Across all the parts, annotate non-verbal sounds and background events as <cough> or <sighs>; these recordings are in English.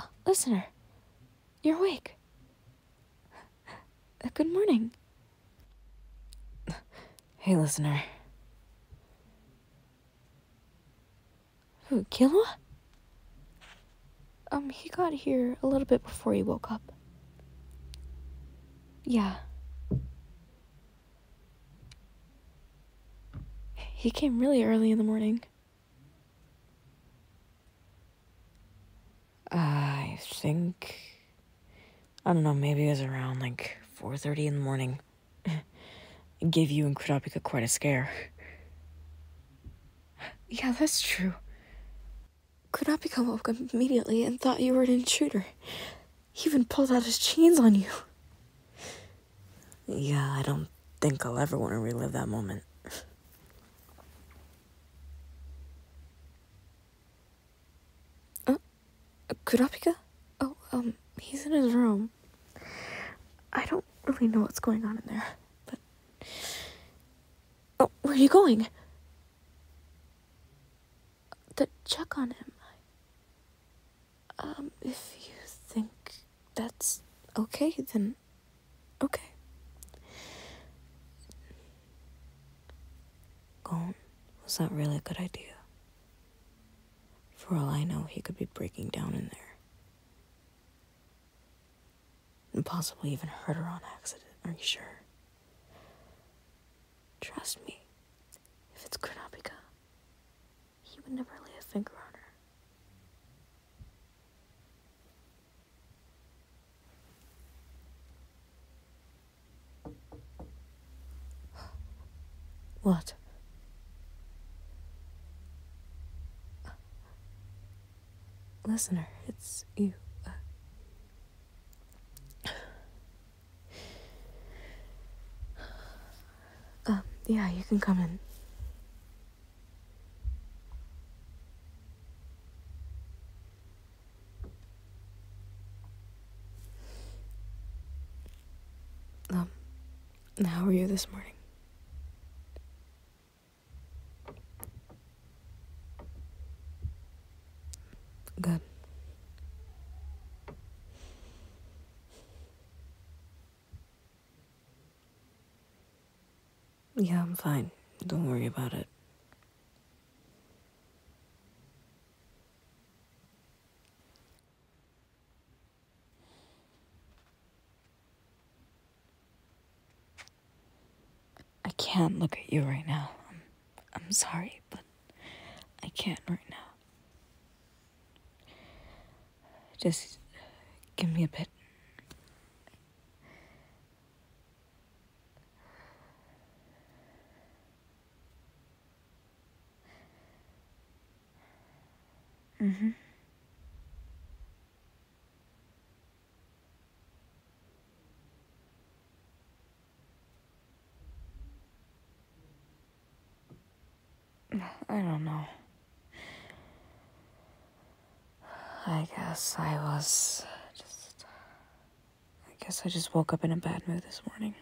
Oh, listener, you're awake. Uh, good morning. Hey, listener. Who, killed him? Um, he got here a little bit before he woke up. Yeah. He came really early in the morning. I think I don't know, maybe it was around like 4:30 in the morning gave <laughs> you and Kurapika quite a scare. Yeah, that's true. Kurapika woke up immediately and thought you were an intruder. He even pulled out his chains on you. Yeah, I don't think I'll ever want to relive that moment. Uh, Kurapika? Oh, um, he's in his room. I don't really know what's going on in there, but. Oh, where are you going? To check on him. Um, if you think that's okay, then okay. Gone was that really a good idea. For all I know, he could be breaking down in there. And possibly even hurt her on accident, are you sure? Trust me, if it's Kurapika, he would never lay a finger on her. What? listener, it's you. um, yeah, you can come in. Um, how are you this morning? Good. Yeah, I'm fine. Don't worry about it. I can't look at you right now. I'm, I'm sorry, but I can't right now. Just give me a bit. Mm-hmm. I don't know. I guess I was just. I guess I just woke up in a bad mood this morning.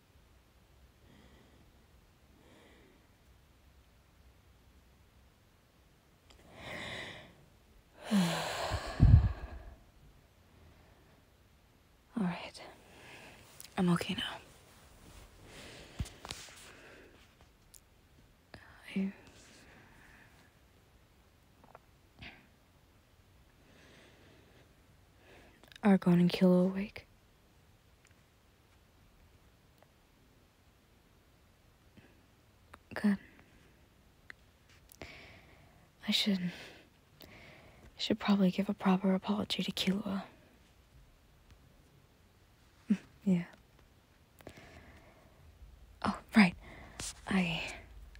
<sighs> All right. I'm okay now. I are Gon and Kilo awake? Good. I should. should probably give a proper apology to Kilua. yeah. Oh, right. I.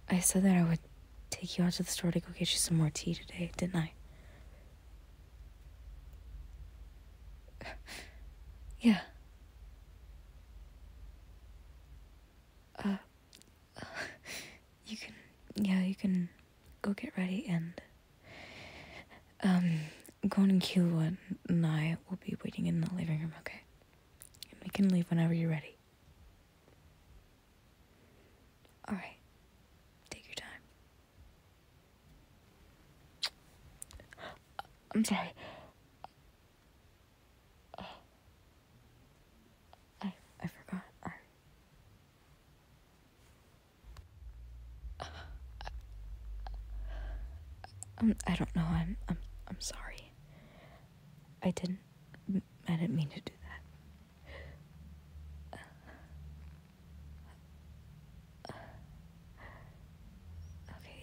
I said that I would take you out to the store to go get you some more tea today, didn't I? <laughs> yeah. Uh, <laughs> you can, yeah, you can go get ready and, um, Gon and Killua and I will be waiting in the living room, okay? And we can leave whenever you're ready. Alright. Take your time. I'm sorry. I I forgot. Uh, I don't know. I'm I'm I'm sorry. I didn't I didn't mean to do that. Okay,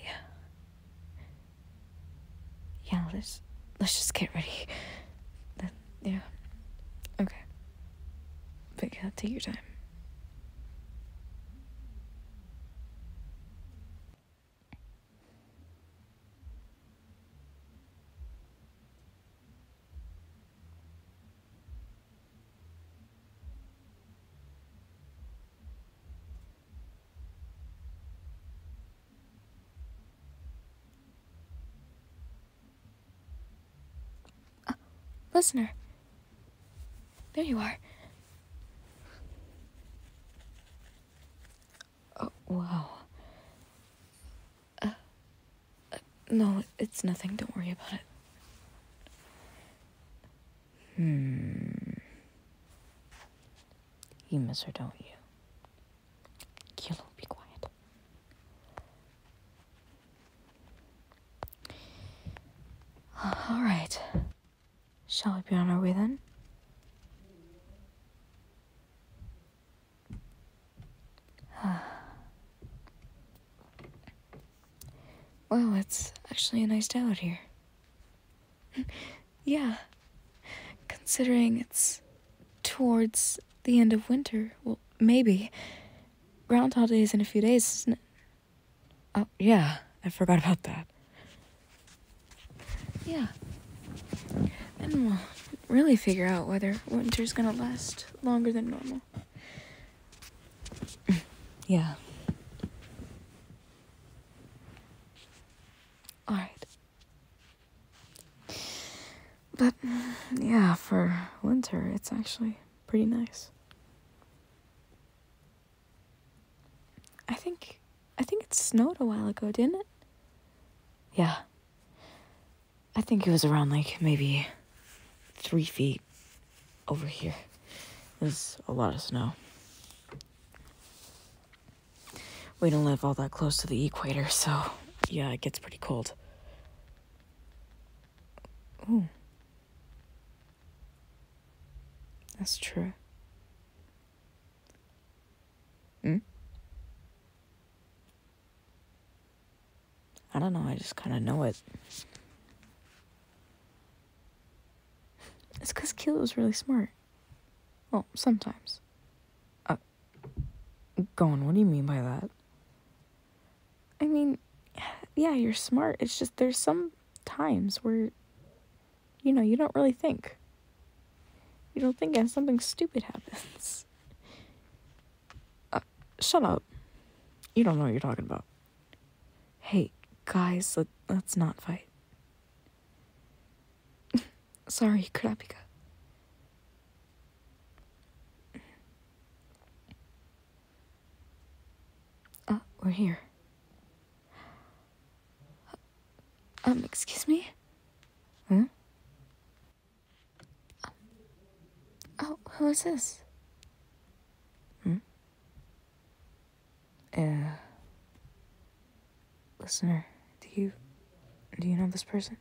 yeah. Yeah, let's let's just get ready. That, yeah. Okay. But yeah, take your time listener. There you are. Oh, wow. Uh, no, it's nothing. Don't worry about it. Hmm. You miss her, don't you? Kilo, be quiet. All right. Shall we be on our way then? <sighs> Well, it's actually a nice day out here. <laughs> yeah, considering it's towards the end of winter, well, maybe. Groundhog Day in a few days, isn't it? Oh, yeah, I forgot about that. Yeah. And we'll really figure out whether winter's gonna last longer than normal. <laughs> yeah. Alright. But, yeah, for winter, it's actually pretty nice. I think I think it snowed a while ago, didn't it? Yeah. I think it was around like maybe three feet over here. There's a lot of snow. We don't live all that close to the equator, so yeah, it gets pretty cold. Ooh. That's true. Hmm? I don't know, I just kind of know it. It's because Keelit was really smart. Well, sometimes. Uh, on. what do you mean by that? I mean, yeah, you're smart. It's just there's some times where, you know, you don't really think. You don't think and something stupid happens. Uh, shut up. You don't know what you're talking about. Hey, guys, let, let's not fight. <laughs> Sorry, Kurapika. Uh, we're here. Uh, um, excuse me? Huh? Oh, oh, who is this? Hmm? Uh, listener, do you do you know this person?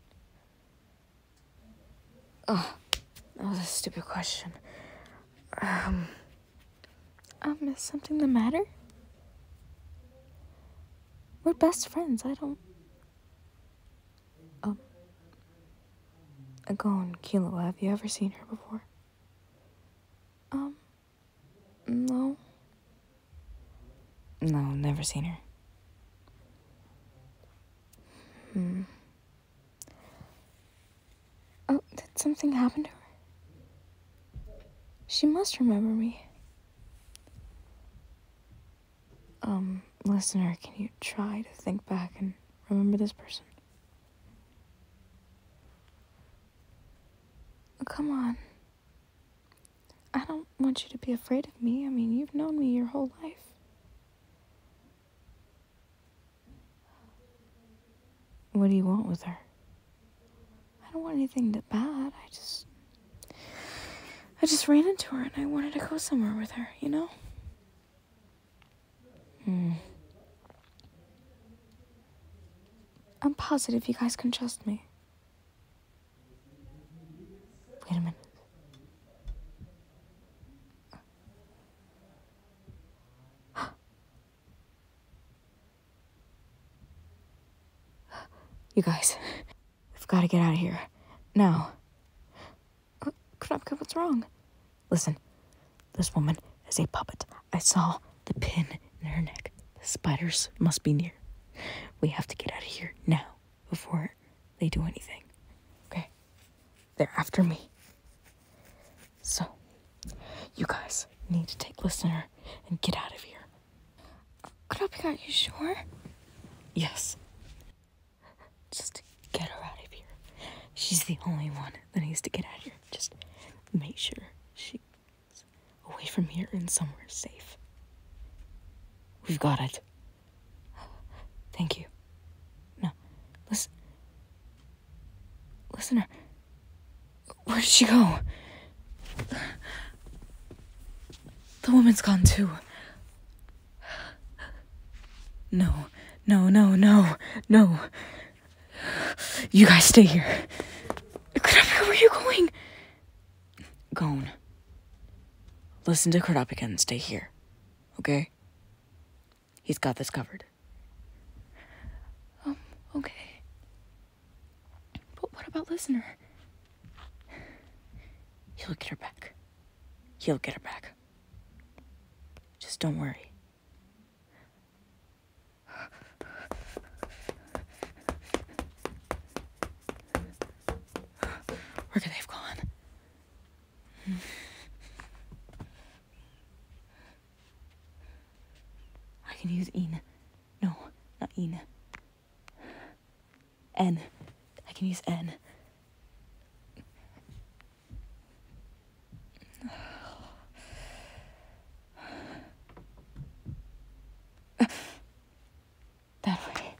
Oh, oh, that's a stupid question. Um, um, is something the matter? We're best friends. I don't. Um, oh. Agon Kilo, have you ever seen her before? Um, no. No, never seen her. Hmm. Oh, did something happen to her? She must remember me. Um, listener, can you try to think back and remember this person? Oh, come on. I don't want you to be afraid of me. I mean, you've known me your whole life. What do you want with her? I don't want anything that bad. I just. I just ran into her and I wanted to go somewhere with her, you know? Hmm. I'm positive you guys can trust me. Wait a minute. <gasps> You guys, <laughs> we've got to get out of here. Now. Krabka, what's wrong? Listen, this woman is a puppet. I saw the pin in her neck. The spiders must be near. We have to get out of here now before they do anything. Okay? They're after me. So, you guys need to take listener and get out of here. Krabka, are you sure? Yes. Just get her out of here. She's the only one that needs to get out of here. Just make sure she's away from here and somewhere safe. We've got it. Thank you. No, listen. Listen. where did she go? The woman's gone too. <gasps> No, no, no, no, no. You guys stay here. Kurapika, where are you going? Gone. Listen to Kurapika and stay here. Okay? He's got this covered. Um, okay. But what about Listener? He'll get her back. He'll get her back. Just don't worry. Where could they have gone? I can use Ina. No, not Ina. N. I can use N. <sighs> That way.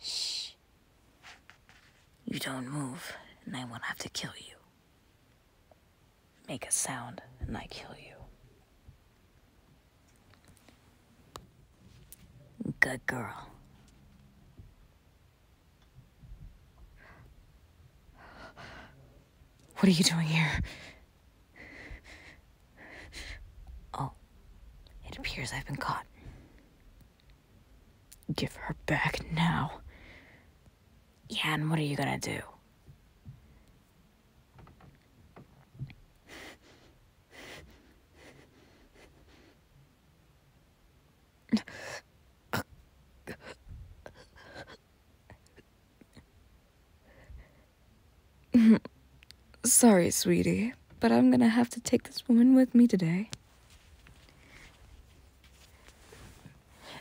Shh. You don't move, and I won't have to kill you. Make a sound and I kill you. Good girl. What are you doing here? Oh, it appears I've been caught. Give her back now. Yeah, what are you gonna do? Sorry, sweetie, but I'm gonna have to take this woman with me today.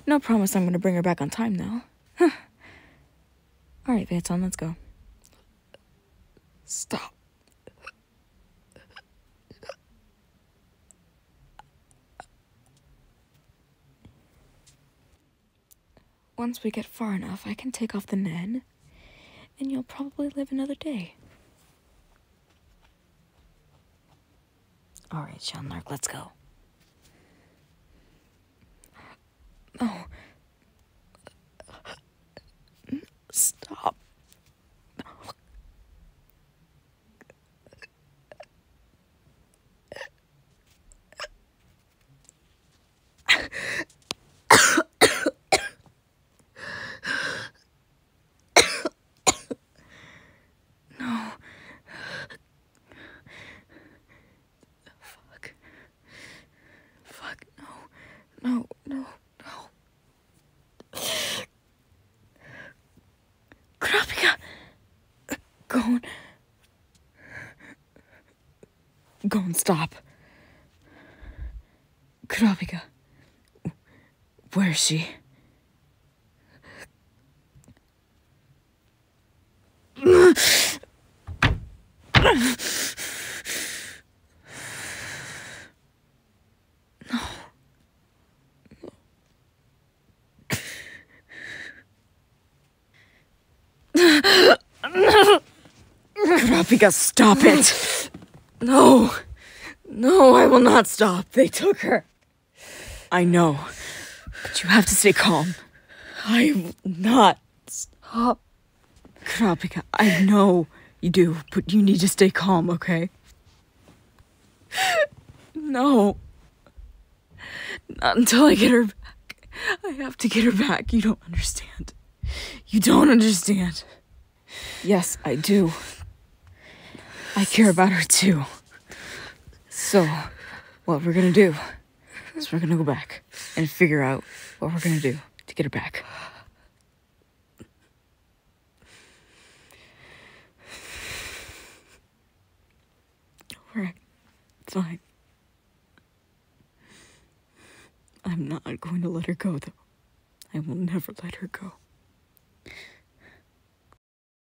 No promise I'm going to bring her back on time, though. Huh. All right, Vanton, let's go. Stop. Once we get far enough, I can take off the nan, and you'll probably live another day. All right, Sean Lark, let's go. No. Stop. <coughs> No. Fuck. Fuck, no. No, no, no. Krapika! Gone. Gone, stop. Krapika. Where is she? No. Kurapika, stop it! No! No, I will not stop. They took her. I know, but you have to stay calm. I am not stop. Krapika, I know you do, but you need to stay calm, okay? No. Not until I get her back. I have to get her back. You don't understand. You don't understand. Yes, I do. I care about her too. So, what we're gonna do is we're gonna go back and figure out what we're gonna do to get her back. Alright, fine. I'm not going to let her go, though. I will never let her go.